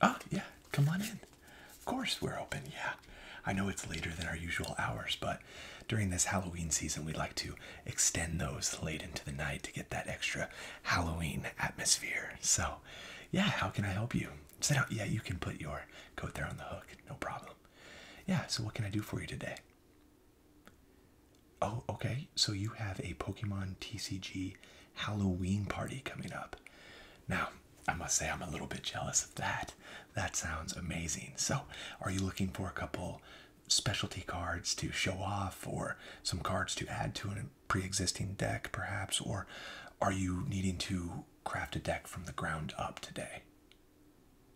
Oh, yeah, come on in. Of course, we're open. Yeah. I know it's later than our usual hours, but during this Halloween season, we like to extend those late into the night to get that extra Halloween atmosphere. So, yeah, how can I help you? Sit down. Yeah, you can put your coat there on the hook. No problem. Yeah, so what can I do for you today? Oh, okay. So you have a Pokemon TCG Halloween party coming up. Now, I must say, I'm a little bit jealous of that. That sounds amazing. So, are you looking for a couple specialty cards to show off, or some cards to add to a pre existing deck, perhaps? Or are you needing to craft a deck from the ground up today?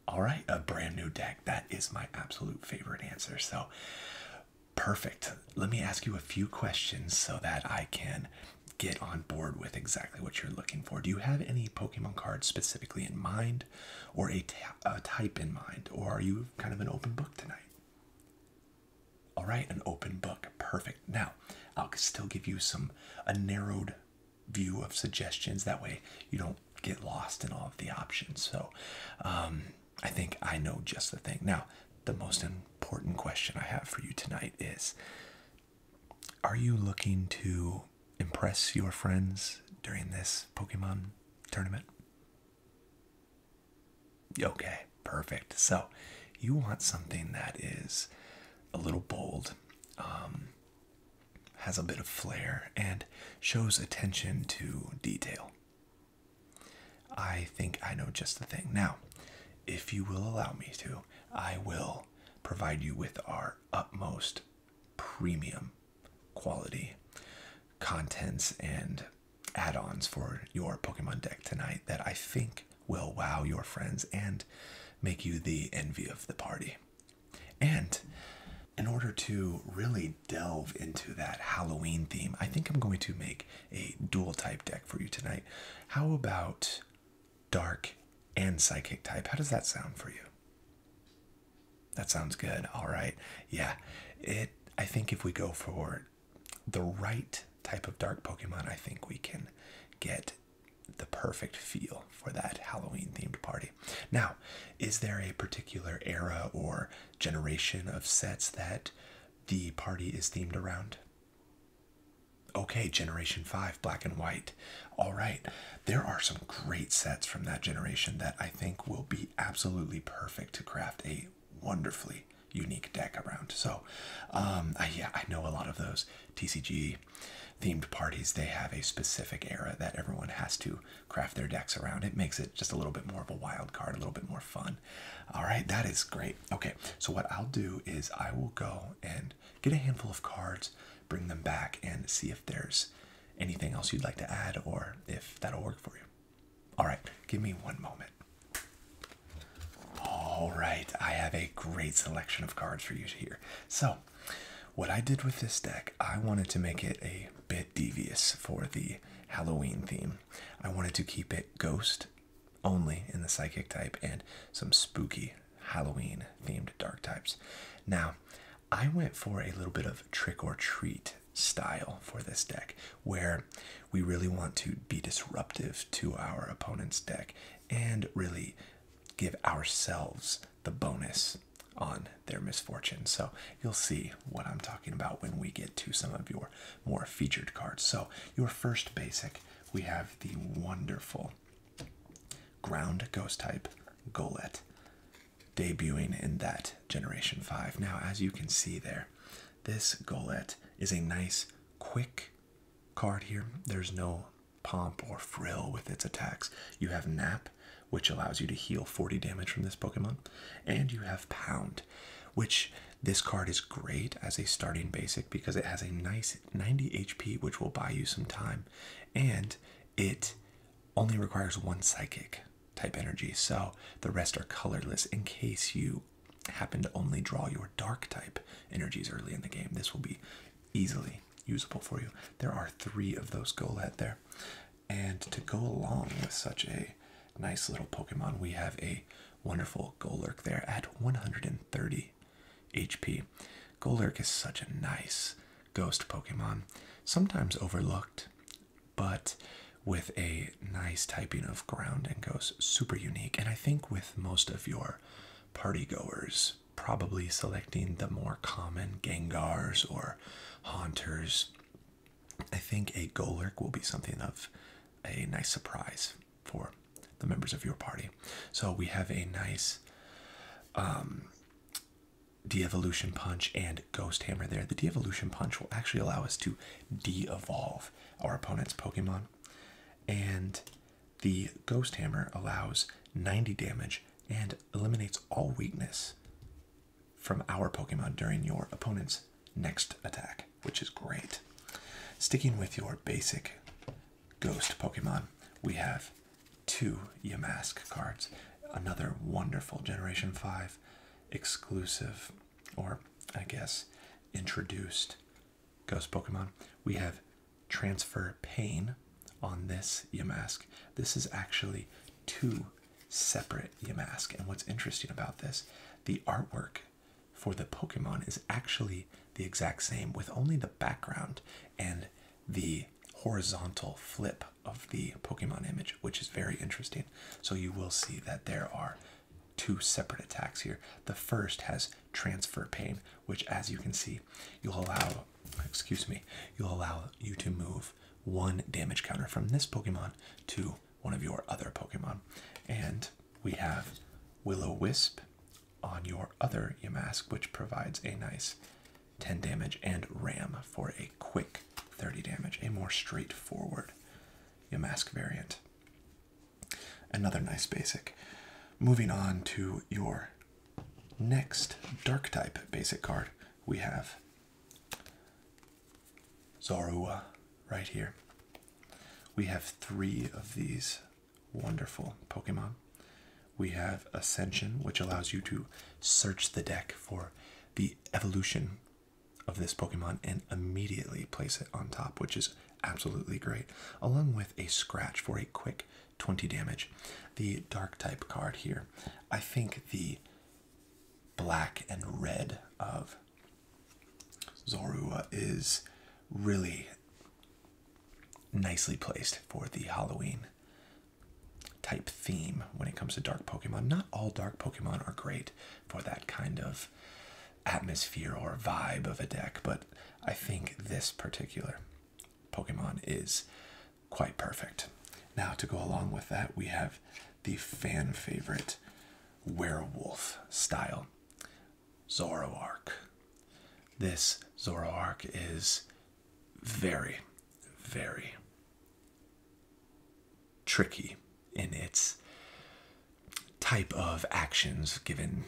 All right, a brand new deck. That is my absolute favorite answer. So, Perfect. Let me ask you a few questions so that I can get on board with exactly what you're looking for. Do you have any Pokemon cards specifically in mind or a, a type in mind? Or are you kind of an open book tonight? All right, an open book. Perfect. Now, I'll still give you some, a narrowed view of suggestions. That way you don't get lost in all of the options. So, um, I think I know just the thing. Now, the most important question I have for you tonight is Are you looking to impress your friends during this Pokemon tournament? Okay, perfect. So, you want something that is a little bold, um, has a bit of flair, and shows attention to detail. I think I know just the thing. Now, if you will allow me to, I will provide you with our utmost premium quality contents and add ons for your Pokemon deck tonight that I think will wow your friends and make you the envy of the party. And in order to really delve into that Halloween theme, I think I'm going to make a dual type deck for you tonight. How about dark and psychic type? How does that sound for you? That sounds good. All right. Yeah. It I think if we go for the right type of dark Pokemon, I think we can get the perfect feel for that Halloween themed party. Now, is there a particular era or generation of sets that the party is themed around. Okay, Generation 5, black and white. All right, there are some great sets from that generation that I think will be absolutely perfect to craft a wonderfully unique deck around. So, um, I, yeah, I know a lot of those TCG themed parties, they have a specific era that everyone has to craft their decks around. It makes it just a little bit more of a wild card, a little bit more fun. All right, that is great. Okay, so what I'll do is I will go and get a handful of cards, bring them back, and see if there's anything else you'd like to add or if that'll work for you. All right, give me one moment. All right, I have a great selection of cards for you here. So, what I did with this deck, I wanted to make it a bit devious for the Halloween theme. I wanted to keep it ghost only in the psychic type and some spooky Halloween themed dark types. Now, I went for a little bit of trick or treat style for this deck where we really want to be disruptive to our opponent's deck and really give ourselves the bonus on their misfortune. So you'll see what I'm talking about when we get to some of your more featured cards. So, your first basic, we have the wonderful ground ghost type Golett debuting in that Generation 5. Now, as you can see there, this Golett is a nice, quick card here. There's no pomp or frill with its attacks. You have Nap, which allows you to heal 40 damage from this Pokemon, and you have Pound, which this card is great as a starting basic because it has a nice 90 HP, which will buy you some time, and it only requires one psychic type energy, so the rest are colorless in case you happen to only draw your dark type energies early in the game. This will be easily usable for you. There are three of those Golad there. And to go along with such a nice little Pokemon, we have a Wonderful Golurk there at 130 HP. Golurk is such a nice ghost Pokemon, sometimes overlooked, but with a nice typing of ground and ghost, super unique. And I think with most of your party goers, probably selecting the more common Gengars or Haunters I think a Golurk will be something of a nice surprise for the members of your party. So we have a nice um, de-evolution punch and ghost hammer there. The de-evolution punch will actually allow us to de-evolve our opponent's Pokemon. And the ghost hammer allows 90 damage and eliminates all weakness from our Pokemon during your opponent's next attack which is great. Sticking with your basic ghost Pokemon, we have two Yamask cards. Another wonderful Generation 5 exclusive, or I guess introduced ghost Pokemon. We have Transfer Pain on this Yamask. This is actually two separate Yamask. And what's interesting about this, the artwork for the Pokemon is actually the exact same with only the background and the horizontal flip of the Pokemon image, which is very interesting. So you will see that there are two separate attacks here. The first has transfer pain, which as you can see, you'll allow, excuse me, you'll allow you to move one damage counter from this Pokemon to one of your other Pokemon. And we have Willow Wisp on your other Yamask, which provides a nice 10 damage and ram for a quick 30 damage, a more straightforward Yamask variant. Another nice basic. Moving on to your next dark type basic card, we have Zarua right here. We have three of these wonderful Pokemon. We have Ascension, which allows you to search the deck for the evolution of this Pokemon and immediately place it on top, which is absolutely great, along with a scratch for a quick 20 damage. The dark type card here, I think the black and red of with. Zorua is really nicely placed for the Halloween type theme when it comes to dark Pokemon. Not all dark Pokemon are great for that kind of atmosphere or vibe of a deck, but I think this particular Pokemon is quite perfect. Now, to go along with that, we have the fan favorite werewolf style. Zoroark. This Zoroark is very, very tricky in its type of actions given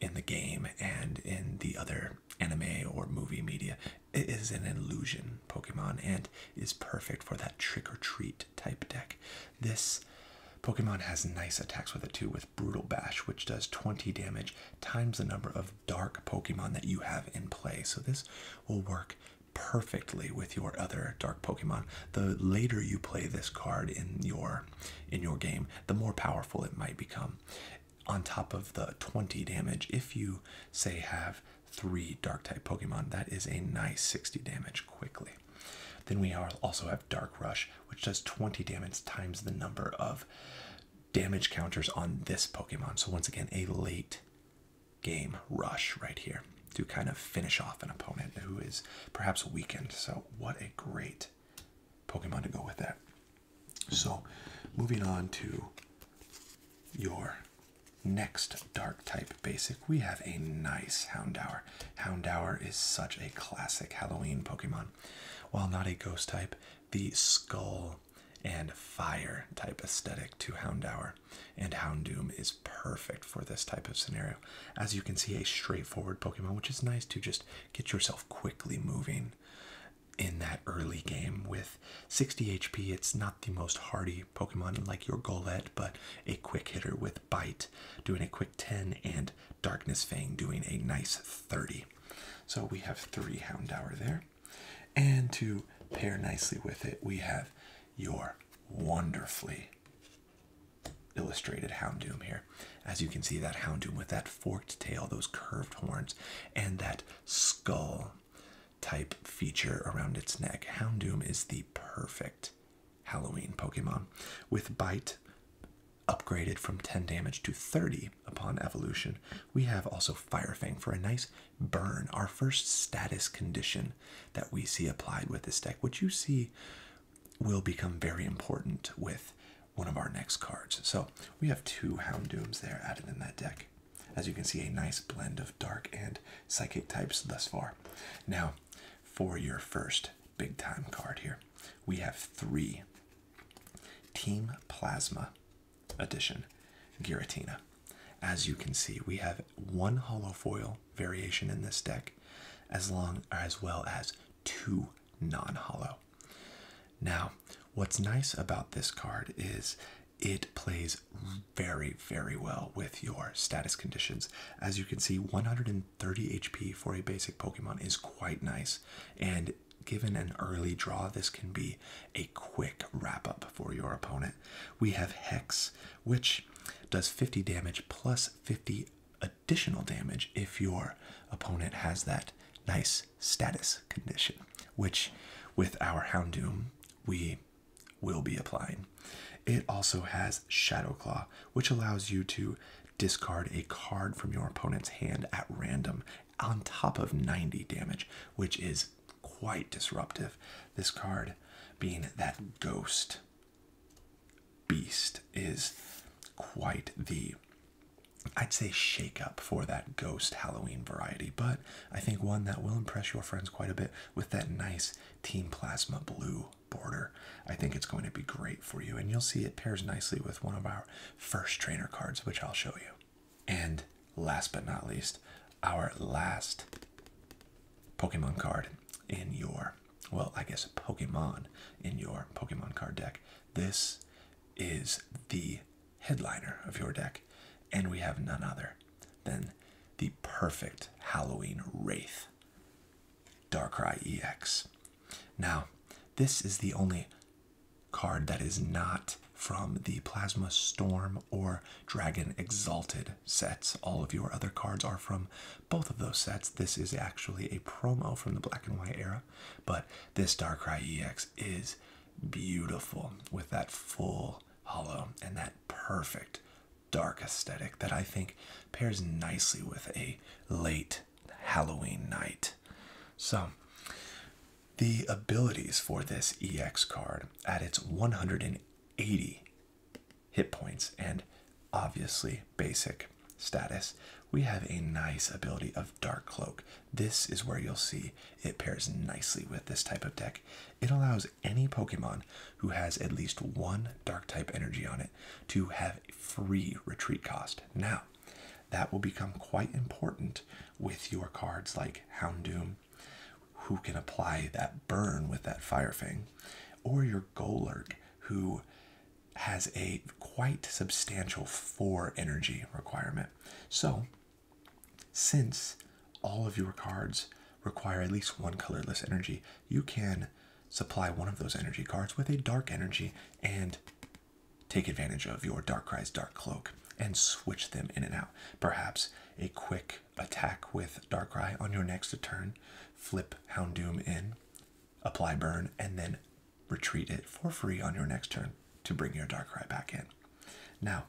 in the game and in the other anime or movie media. It is an illusion Pokemon and is perfect for that trick or treat type deck. This Pokemon has nice attacks with it too, with Brutal Bash, which does 20 damage times the number of dark Pokemon that you have in play. So this will work perfectly with your other dark Pokemon. The later you play this card in your in your game, the more powerful it might become. On top of the 20 damage, if you say have three dark type Pokemon, that is a nice 60 damage quickly. Then we also have Dark Rush, which does 20 damage times the number of damage counters on this Pokemon. So, once again, a late game rush right here to kind of finish off an opponent who is perhaps weakened. So, what a great Pokemon to go with that. So, moving on to your next dark type basic, we have a nice Houndour. Houndour is such a classic Halloween Pokemon. While not a ghost type, the skull and fire type aesthetic to Houndour and Houndoom is perfect for this type of scenario. As you can see, a straightforward Pokemon, which is nice to just get yourself quickly moving in that early game with 60 HP. It's not the most hardy Pokemon like your Golett, but a quick hitter with Bite doing a quick 10 and Darkness Fang doing a nice 30. So we have three Houndour there. And to pair nicely with it, we have your wonderfully illustrated Houndoom here. As you can see, that Houndoom with that forked tail, those curved horns, and that skull type feature around its neck. Houndoom is the perfect Halloween Pokemon, with bite upgraded from 10 damage to 30 upon evolution. We have also Fire Fang for a nice burn, our first status condition that we see applied with this deck, which you see will become very important with one of our next cards. So we have two Houndooms there added in that deck. As you can see, a nice blend of dark and psychic types thus far. Now, for your first big time card here. We have three Team Plasma Edition Giratina. As you can see, we have one hollow foil variation in this deck, as long as well as two non-hollow. Now, what's nice about this card is it plays very, very well with your status conditions. As you can see, 130 HP for a basic Pokemon is quite nice, and given an early draw, this can be a quick wrap up for your opponent. We have Hex, which does 50 damage plus 50 additional damage if your opponent has that nice status condition, which with our Houndoom, we will be applying. It also has Shadow Claw, which allows you to discard a card from your opponent's hand at random on top of 90 damage, which is quite disruptive. This card, being that ghost beast, is quite the I'd say shake up for that ghost Halloween variety, but I think one that will impress your friends quite a bit with that nice Team Plasma blue border. I think it's going to be great for you, and you'll see it pairs nicely with one of our first trainer cards, which I'll show you. And last but not least, our last Pokemon card in your, well, I guess Pokemon in your Pokemon card deck. This is the headliner of your deck, and we have none other than the perfect Halloween Wraith. Dark Cry EX. Now, this is the only card that is not from the Plasma Storm or Dragon Exalted sets. All of your other cards are from both of those sets. This is actually a promo from the Black and White era, but this Dark Cry EX is beautiful with that full hollow and that perfect dark aesthetic that I think pairs nicely with a late Halloween night. So, the abilities for this EX card at its 180 hit points and obviously basic status, we have a nice ability of Dark Cloak. This is where you'll see it pairs nicely with this type of deck. It allows any Pokemon who has at least one Dark type energy on it to have free retreat cost. Now, that will become quite important with your cards like Houndoom, who can apply that burn with that Fire Fang, or your Golurk, who has a quite substantial 4 energy requirement. So, since all of your cards require at least one colorless energy, you can supply one of those energy cards with a dark energy and take advantage of your Dark Darkrai Dark Cloak and switch them in and out. Perhaps a quick attack with Dark Darkrai on your next turn, flip Hound Doom in, apply burn, and then retreat it for free on your next turn to bring your Dark Darkrai back in. Now,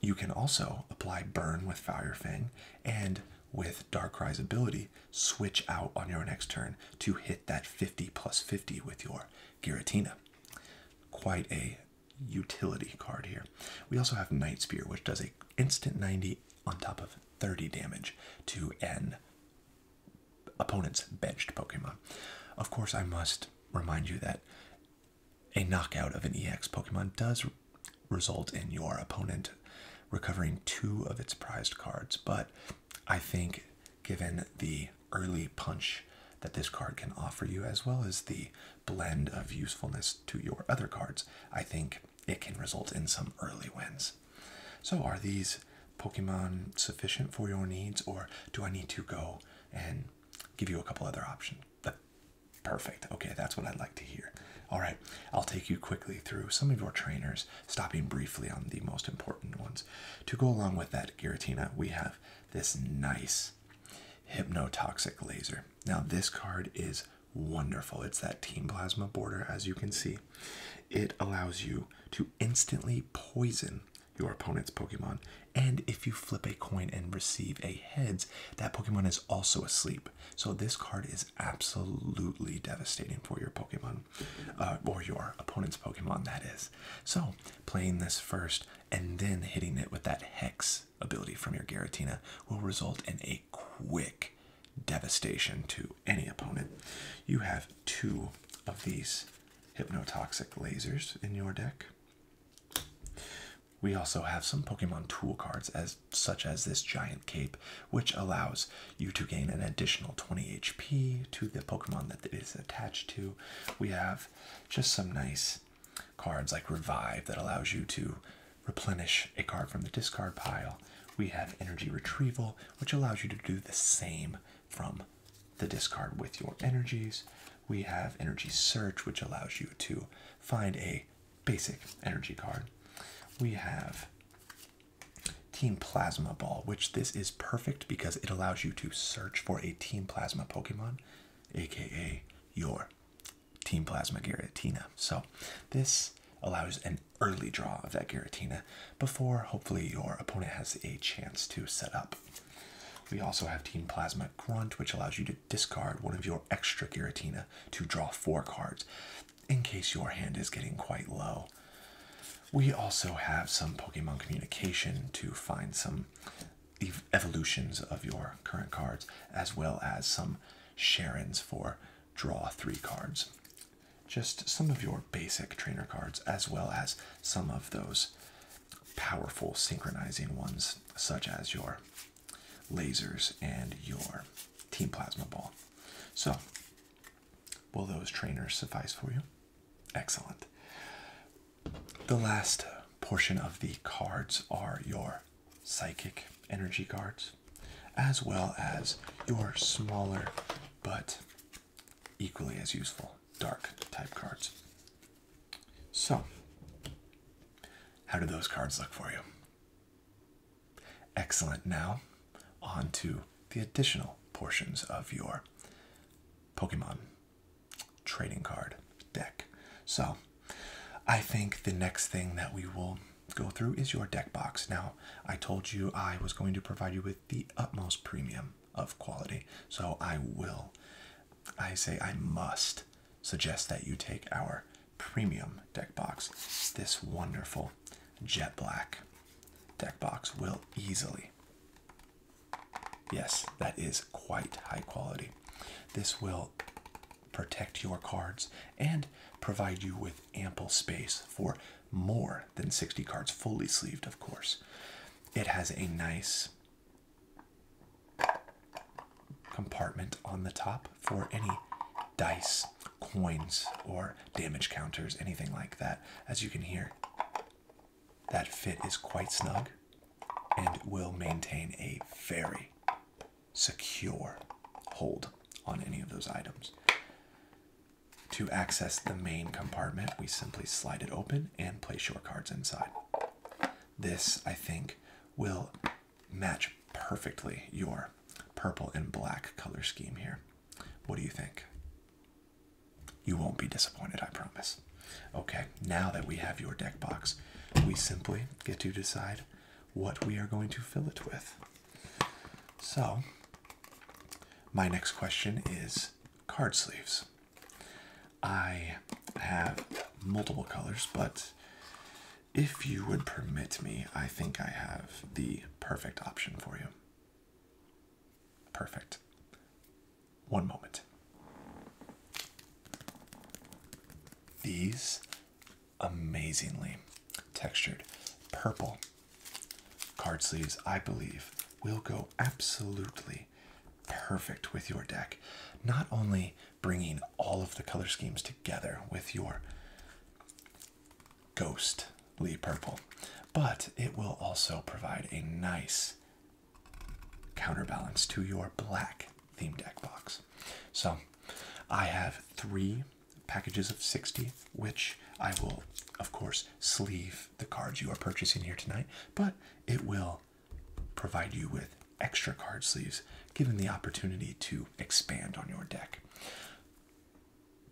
you can also apply burn with Fire Fang and with Darkrai's ability, switch out on your next turn to hit that 50 plus 50 with your Giratina. Quite a utility card here. We also have Night Spear, which does a instant 90 on top of 30 damage to an opponent's benched Pokemon. Of course, I must remind you that a knockout of an EX Pokemon does result in your opponent recovering two of its prized cards. But I think, given the early punch that this card can offer you, as well as the blend of usefulness to your other cards, I think it can result in some early wins. So, are these Pokemon sufficient for your needs, or do I need to go and give you a couple other options? Perfect. Okay, that's what I'd like to hear. All right, I'll take you quickly through some of your trainers, stopping briefly on the most important ones. To go along with that, Giratina, we have this nice Hypnotoxic Laser. Now, this card is wonderful. It's that Team Plasma border, as you can see. It allows you to instantly poison your opponent's Pokemon. And if you flip a coin and receive a heads, that Pokemon is also asleep. So this card is absolutely devastating for your Pokemon, uh, or your opponent's Pokemon, that is. So playing this first and then hitting it with that Hex ability from your Garatina will result in a quick devastation to any opponent. You have two of these Hypnotoxic Lasers in your deck. We also have some Pokemon tool cards as such as this giant cape, which allows you to gain an additional 20 HP to the Pokemon that it is attached to. We have just some nice cards like Revive that allows you to replenish a card from the discard pile. We have Energy Retrieval, which allows you to do the same from the discard with your energies. We have Energy Search, which allows you to find a basic energy card. We have Team Plasma Ball, which this is perfect because it allows you to search for a Team Plasma Pokemon, aka your Team Plasma Giratina. So this allows an early draw of that Giratina before hopefully your opponent has a chance to set up. We also have Team Plasma Grunt, which allows you to discard one of your extra Giratina to draw four cards in case your hand is getting quite low. We also have some Pokemon communication to find some evolutions of your current cards, as well as some Sharons for draw three cards. Just some of your basic trainer cards, as well as some of those powerful synchronizing ones, such as your lasers and your team plasma ball. So, will those trainers suffice for you? Excellent. The last portion of the cards are your psychic energy cards, as well as your smaller but equally as useful dark type cards. So, how do those cards look for you? Excellent. Now, on to the additional portions of your Pokemon trading card deck. So, I think the next thing that we will go through is your deck box. Now, I told you I was going to provide you with the utmost premium of quality, so I will, I say I must suggest that you take our premium deck box. This wonderful jet black deck box will easily, yes, that is quite high quality. This will protect your cards and provide you with ample space for more than 60 cards, fully sleeved, of course. It has a nice compartment on the top for any dice, coins, or damage counters, anything like that. As you can hear, that fit is quite snug and will maintain a very secure hold on any of those items. To access the main compartment, we simply slide it open and place your cards inside. This, I think, will match perfectly your purple and black color scheme here. What do you think? You won't be disappointed, I promise. Okay, now that we have your deck box, we simply get to decide what we are going to fill it with. So, my next question is card sleeves. I have multiple colors, but if you would permit me, I think I have the perfect option for you. Perfect. One moment. These amazingly textured purple card sleeves, I believe, will go absolutely perfect with your deck. Not only bringing all of the color schemes together with your ghostly purple. But it will also provide a nice counterbalance to your black theme deck box. So I have three packages of 60, which I will, of course, sleeve the cards you are purchasing here tonight, but it will provide you with extra card sleeves giving the opportunity to expand on your deck.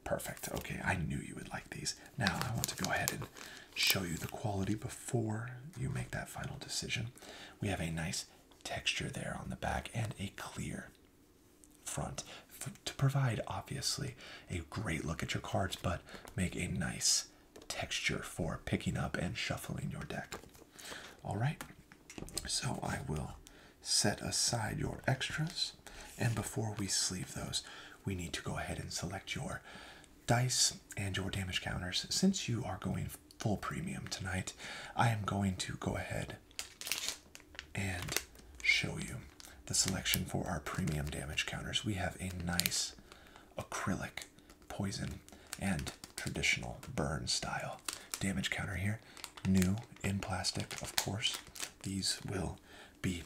Perfect. Okay, I knew you would like these. Now I want to go ahead and show you the quality before you make that final decision. We have a nice texture there on the back and a clear front to provide obviously a great look at your cards but make a nice texture for picking up and shuffling your deck. All right. So I will set aside your extras. And before we sleeve those, we need to go ahead and select your dice and your damage counters. Since you are going full premium tonight, I am going to go ahead and show you the selection for our premium damage counters. We have a nice acrylic poison and traditional burn style damage counter here new in plastic, of course, these will be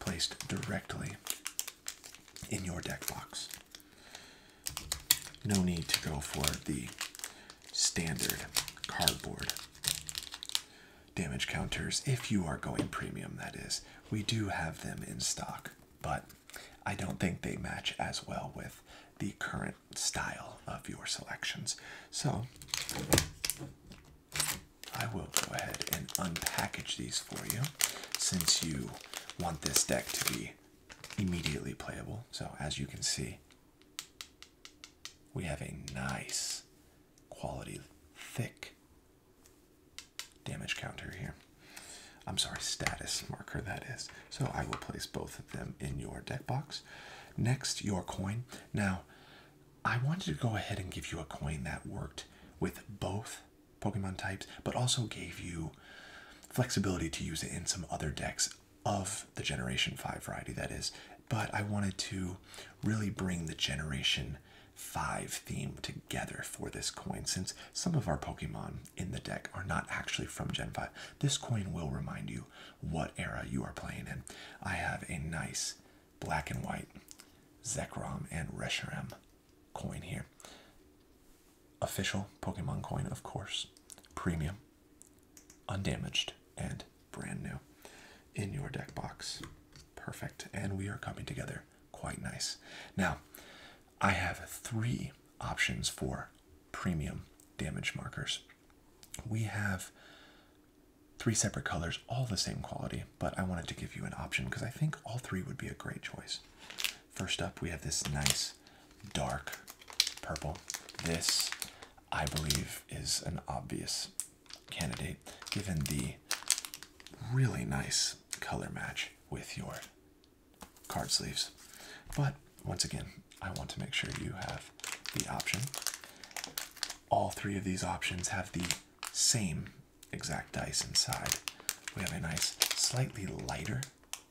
placed directly in your deck box. No need to go for the standard cardboard damage counters if you are going premium, that is. We do have them in stock, but I don't think they match as well with the current style of your selections. So I will go ahead and unpackage these for you since you want this deck to be immediately playable. So as you can see, we have a nice quality thick damage counter here. I'm sorry, status marker that is. So I will place both of them in your deck box. Next, your coin. Now, I wanted to go ahead and give you a coin that worked with both Pokemon types, but also gave you flexibility to use it in some other decks of the Generation 5 variety, that is. But I wanted to really bring the Generation 5 theme together for this coin since some of our Pokemon in the deck are not actually from Gen 5. This coin will remind you what era you are playing in. I have a nice black and white Zekrom and Reshiram coin here. Official Pokemon coin, of course. Premium, undamaged, and brand new in your deck box. Perfect. And we are coming together quite nice. Now, I have three options for premium damage markers we have three separate colors, all the same quality, but I wanted to give you an option because I think all three would be a great choice. First up, we have this nice dark purple. This, I believe, is an obvious candidate given the really nice color match with your card sleeves. But once again, I want to make sure you have the option. All three of these options have the same exact dice inside. We have a nice, slightly lighter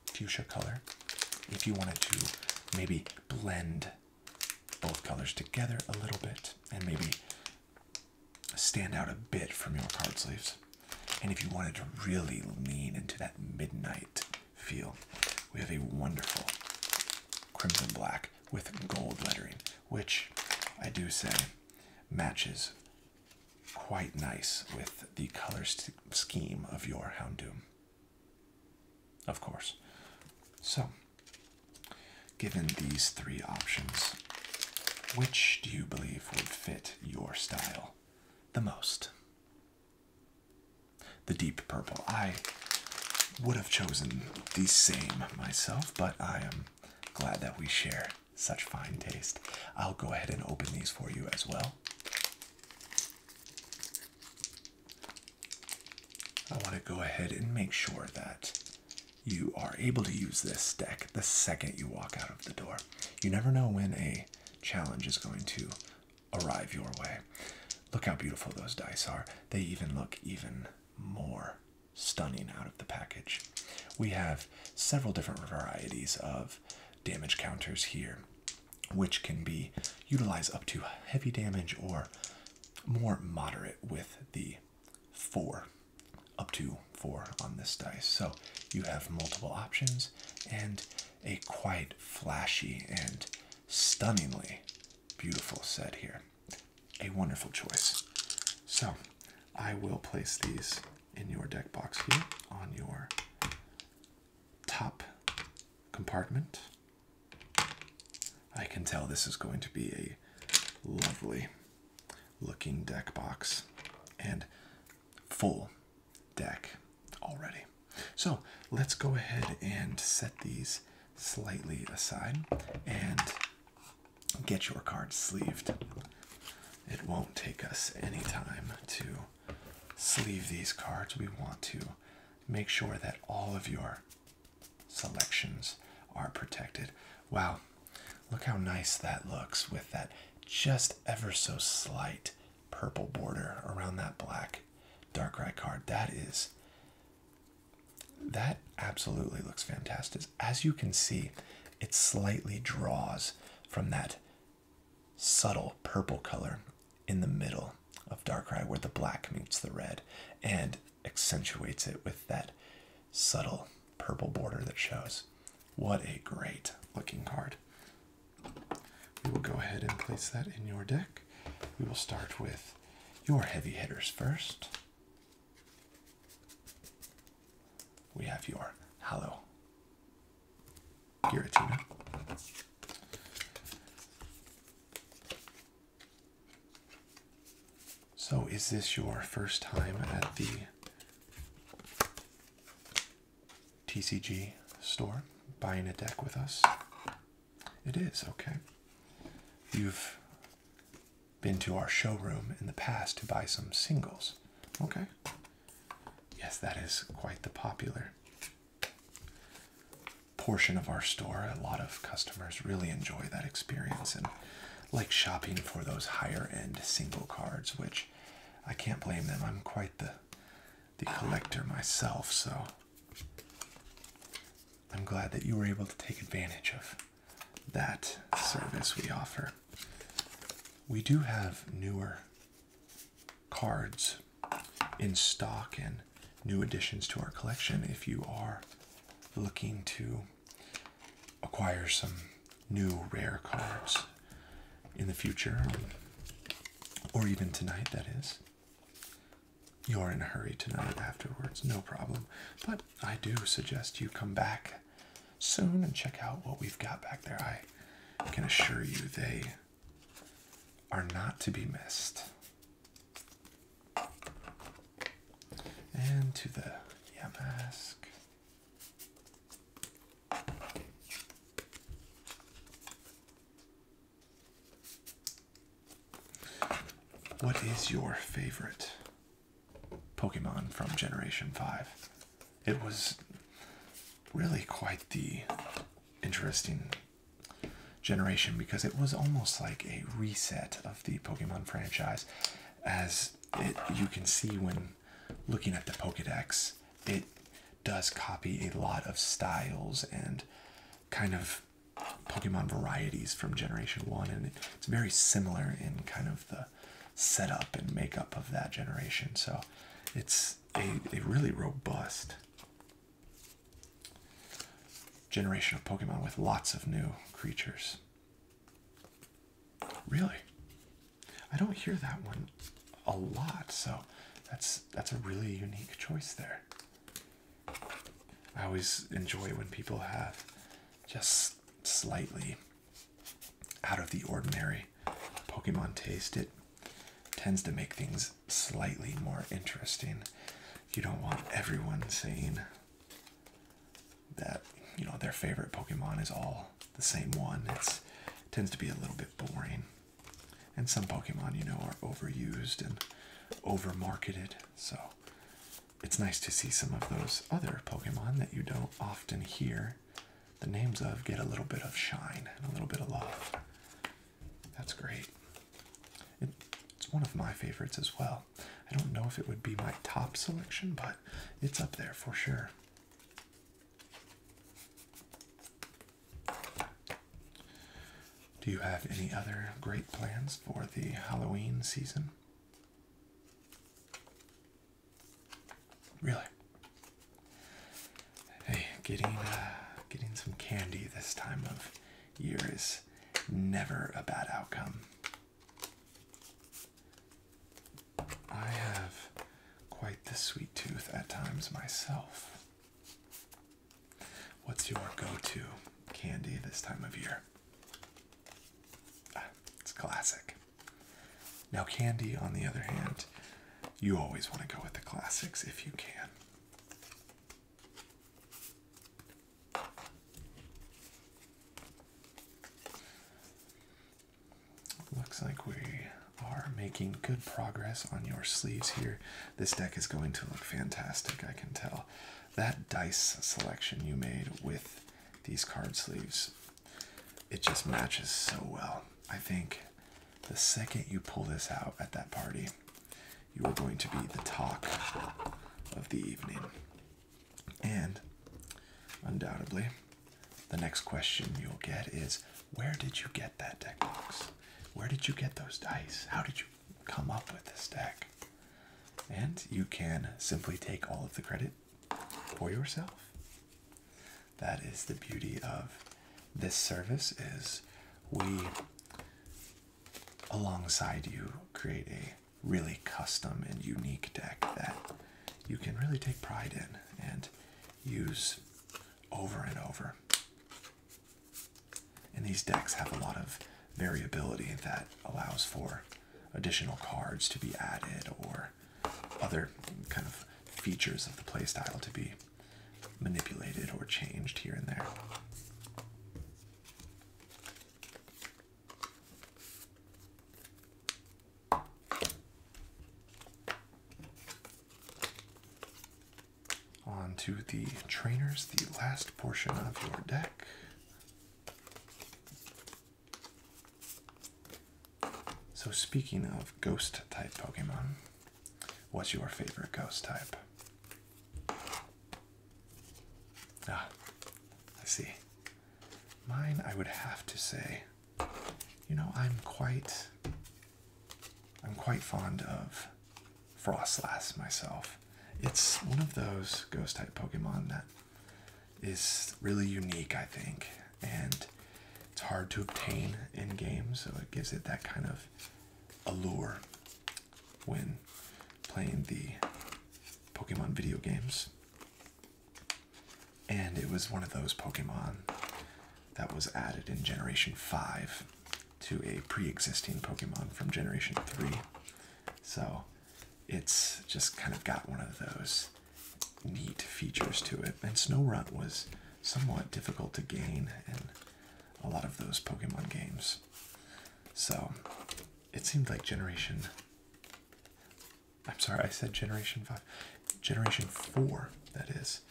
fuchsia color. If you wanted to maybe blend both colors together a little bit and maybe stand out a bit from your card sleeves. And if you wanted to really lean into that midnight feel. We have a wonderful crimson black with gold lettering, which I do say matches quite nice with the color scheme of your Houndoom. Of course. So, given these three options, which do you believe would fit your style the most? The deep purple. I would have chosen the same myself, but I am glad that we share such fine taste. I'll go ahead and open these for you as well. I want to go ahead and make sure that you are able to use this deck the second you walk out of the door. You never know when a challenge is going to arrive your way. Look how beautiful those dice are. They even look even more stunning out of the package. We have several different varieties of damage counters here, which can be utilized up to heavy damage or more moderate with the four, up to four on this dice. So you have multiple options and a quite flashy and stunningly beautiful set here. A wonderful choice. So I will place these in your deck box here on your top compartment. I can tell this is going to be a lovely looking deck box and full deck already. So let's go ahead and set these slightly aside and get your cards sleeved. It won't take us any time to sleeve these cards. We want to make sure that all of your selections are protected. Wow, look how nice that looks with that just ever so slight purple border around that black. Darkrai card. That is. That absolutely looks fantastic. As you can see, it slightly draws from that subtle purple color in the middle of Darkrai where the black meets the red and accentuates it with that subtle purple border that shows. What a great looking card. We will go ahead and place that in your deck. We will start with your heavy hitters first. We have your Hallow Giratina. So, is this your first time at the TCG store buying a deck with us. It is, okay. You've been to our showroom in the past to buy some singles, okay? Yes, that is quite the popular portion of our store. A lot of customers really enjoy that experience and like shopping for those higher end single cards, which I can't blame them. I'm quite the the collector myself, so I'm glad that you were able to take advantage of that service we offer. We do have newer cards in stock and new additions to our collection if you are looking to acquire some new rare cards in the future, or even tonight, that is. You're in a hurry tonight afterwards, no problem. But I do suggest you come back soon and check out what we've got back there. I can assure you they are not to be missed. And to the Yamask. What is your favorite Pokemon from Generation 5? It was really quite the interesting generation because it was almost like a reset of the Pokemon franchise, as you can see when looking at the Pokedex it does copy a lot of styles and kind of Pokemon varieties from Generation 1, and it's very similar in kind of the setup and makeup of that generation. So it's a, a really robust generation of Pokemon with lots of new creatures. Really? I don't hear that one a lot. So that's that's a really unique choice there. I always enjoy when people have just slightly out of the ordinary Pokemon taste. It tends to make things slightly more interesting. You don't want everyone saying that you know their favorite Pokemon is all the same one. it tends to be a little bit boring. And some Pokemon, you know, are overused and overmarketed. So it's nice to see some of those other Pokemon that you don't often hear the names of get a little bit of shine and a little bit of love. That's great. it's one of my favorites as well. I don't know if it would be my top selection, but it's up there for sure. Do you have any other great plans for the Halloween season? Really? Hey, getting uh, getting some candy this time of year is never a bad outcome. I have quite the sweet tooth at times myself. What's your go-to candy this time of year? Ah, it's classic. Now, candy, on the other hand, you always want to go with the classics if you can. Looks like we are making good progress on your sleeves here. This deck is going to look fantastic, I can tell. That dice selection you made with these card sleeves, it just matches so well. I think the second you pull this out at that party, you are going to be the talk of the evening. And undoubtedly, the next question you'll get is where did you get that deck box? Where did you get those dice? How did you come up with this deck? And you can simply take all of the credit for yourself. That is the beauty of this service is we alongside you create a really custom and unique deck that you can really take pride in and use over and over. And these decks have a lot of variability that allows for additional cards to be added or other kind of features of the playstyle to be manipulated or changed here and there onto the trainers, the last portion of your deck. So, speaking of ghost type Pokemon, what's your favorite ghost type? Ah, I see. Mine, I would have to say, you know, I'm quite I'm quite fond of Frostlass myself. It's one of those ghost type Pokemon that is really unique, I think, and it's hard to obtain in game, so it gives it that kind of allure when playing the Pokemon video games. And it was one of those Pokemon that was added in Generation 5 to a pre existing Pokemon from Generation 3. So it's just kind of got one of those neat features to it. And Snow Runt was somewhat difficult to gain in a lot of those Pokemon games. So it seemed like Generation. I'm sorry, I said Generation 5. Generation 4, that is,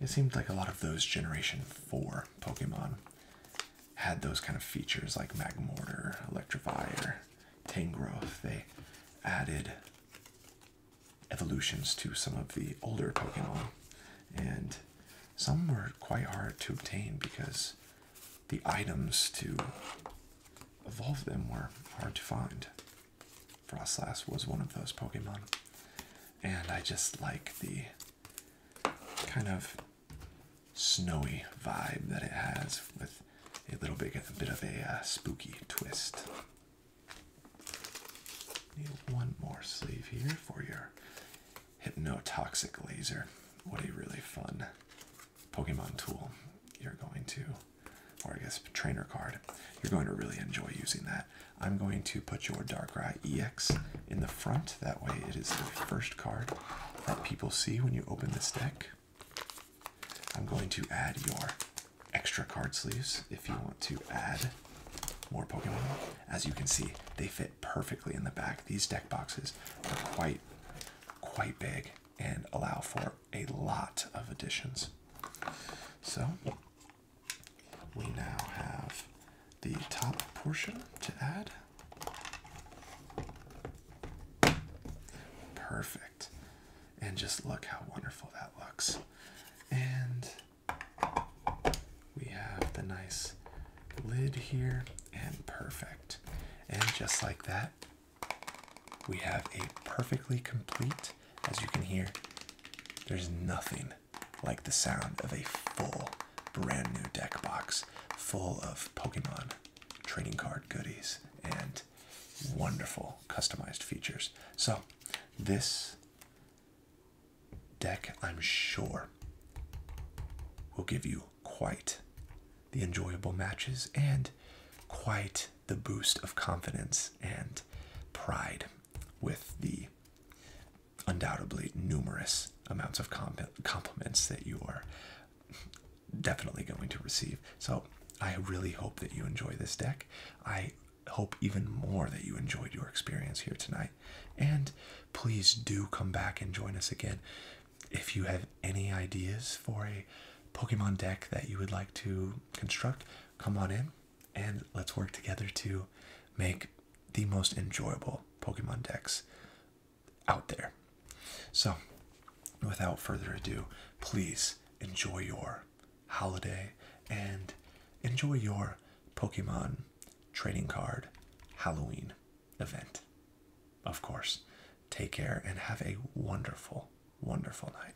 it seemed like a lot of those Generation 4 Pokemon had those kind of features like Magmortar, Electrovire, Tangrowth. They added evolutions to some of the older Pokemon, and some were quite hard to obtain because the items to evolve them were hard to find. Frostlass was one of those Pokemon. And I just like the kind of snowy vibe that it has with a little bit, of a uh, spooky twist. Need one more sleeve here for your hypnotoxic laser. What a really fun Pokemon tool you're going to, or I guess trainer card. You're going to really enjoy using that. I'm going to put your Darkrai EX in the front. That way, it is the first card that people see when you open this deck. I'm going to add your extra card sleeves if you want to add more Pokemon. As you can see, they fit perfectly in the back. These deck boxes are quite, quite big and allow for a lot of additions. So we now have the top portion to add. Perfect. And just look how wonderful that looks. And we have the nice lid here and perfect. And just like that, we have a perfectly complete, as you can hear, there's nothing like the sound of a full brand new deck box full of Pokemon trading card goodies and wonderful customized features. So, this deck, I'm sure, will give you quite the enjoyable matches and quite the boost of confidence and pride with the undoubtedly numerous amounts of compliments that you are definitely going to receive. So I really hope that you enjoy this deck. I hope even more that you enjoyed your experience here tonight. And please do come back and join us again. If you have any ideas for a Pokemon deck that you would like to construct, come on in and let's work together to make the most enjoyable Pokemon decks out there. So, without further ado, please enjoy your holiday and enjoy your Pokemon trading card Halloween event. Of course, take care and have a wonderful, wonderful night.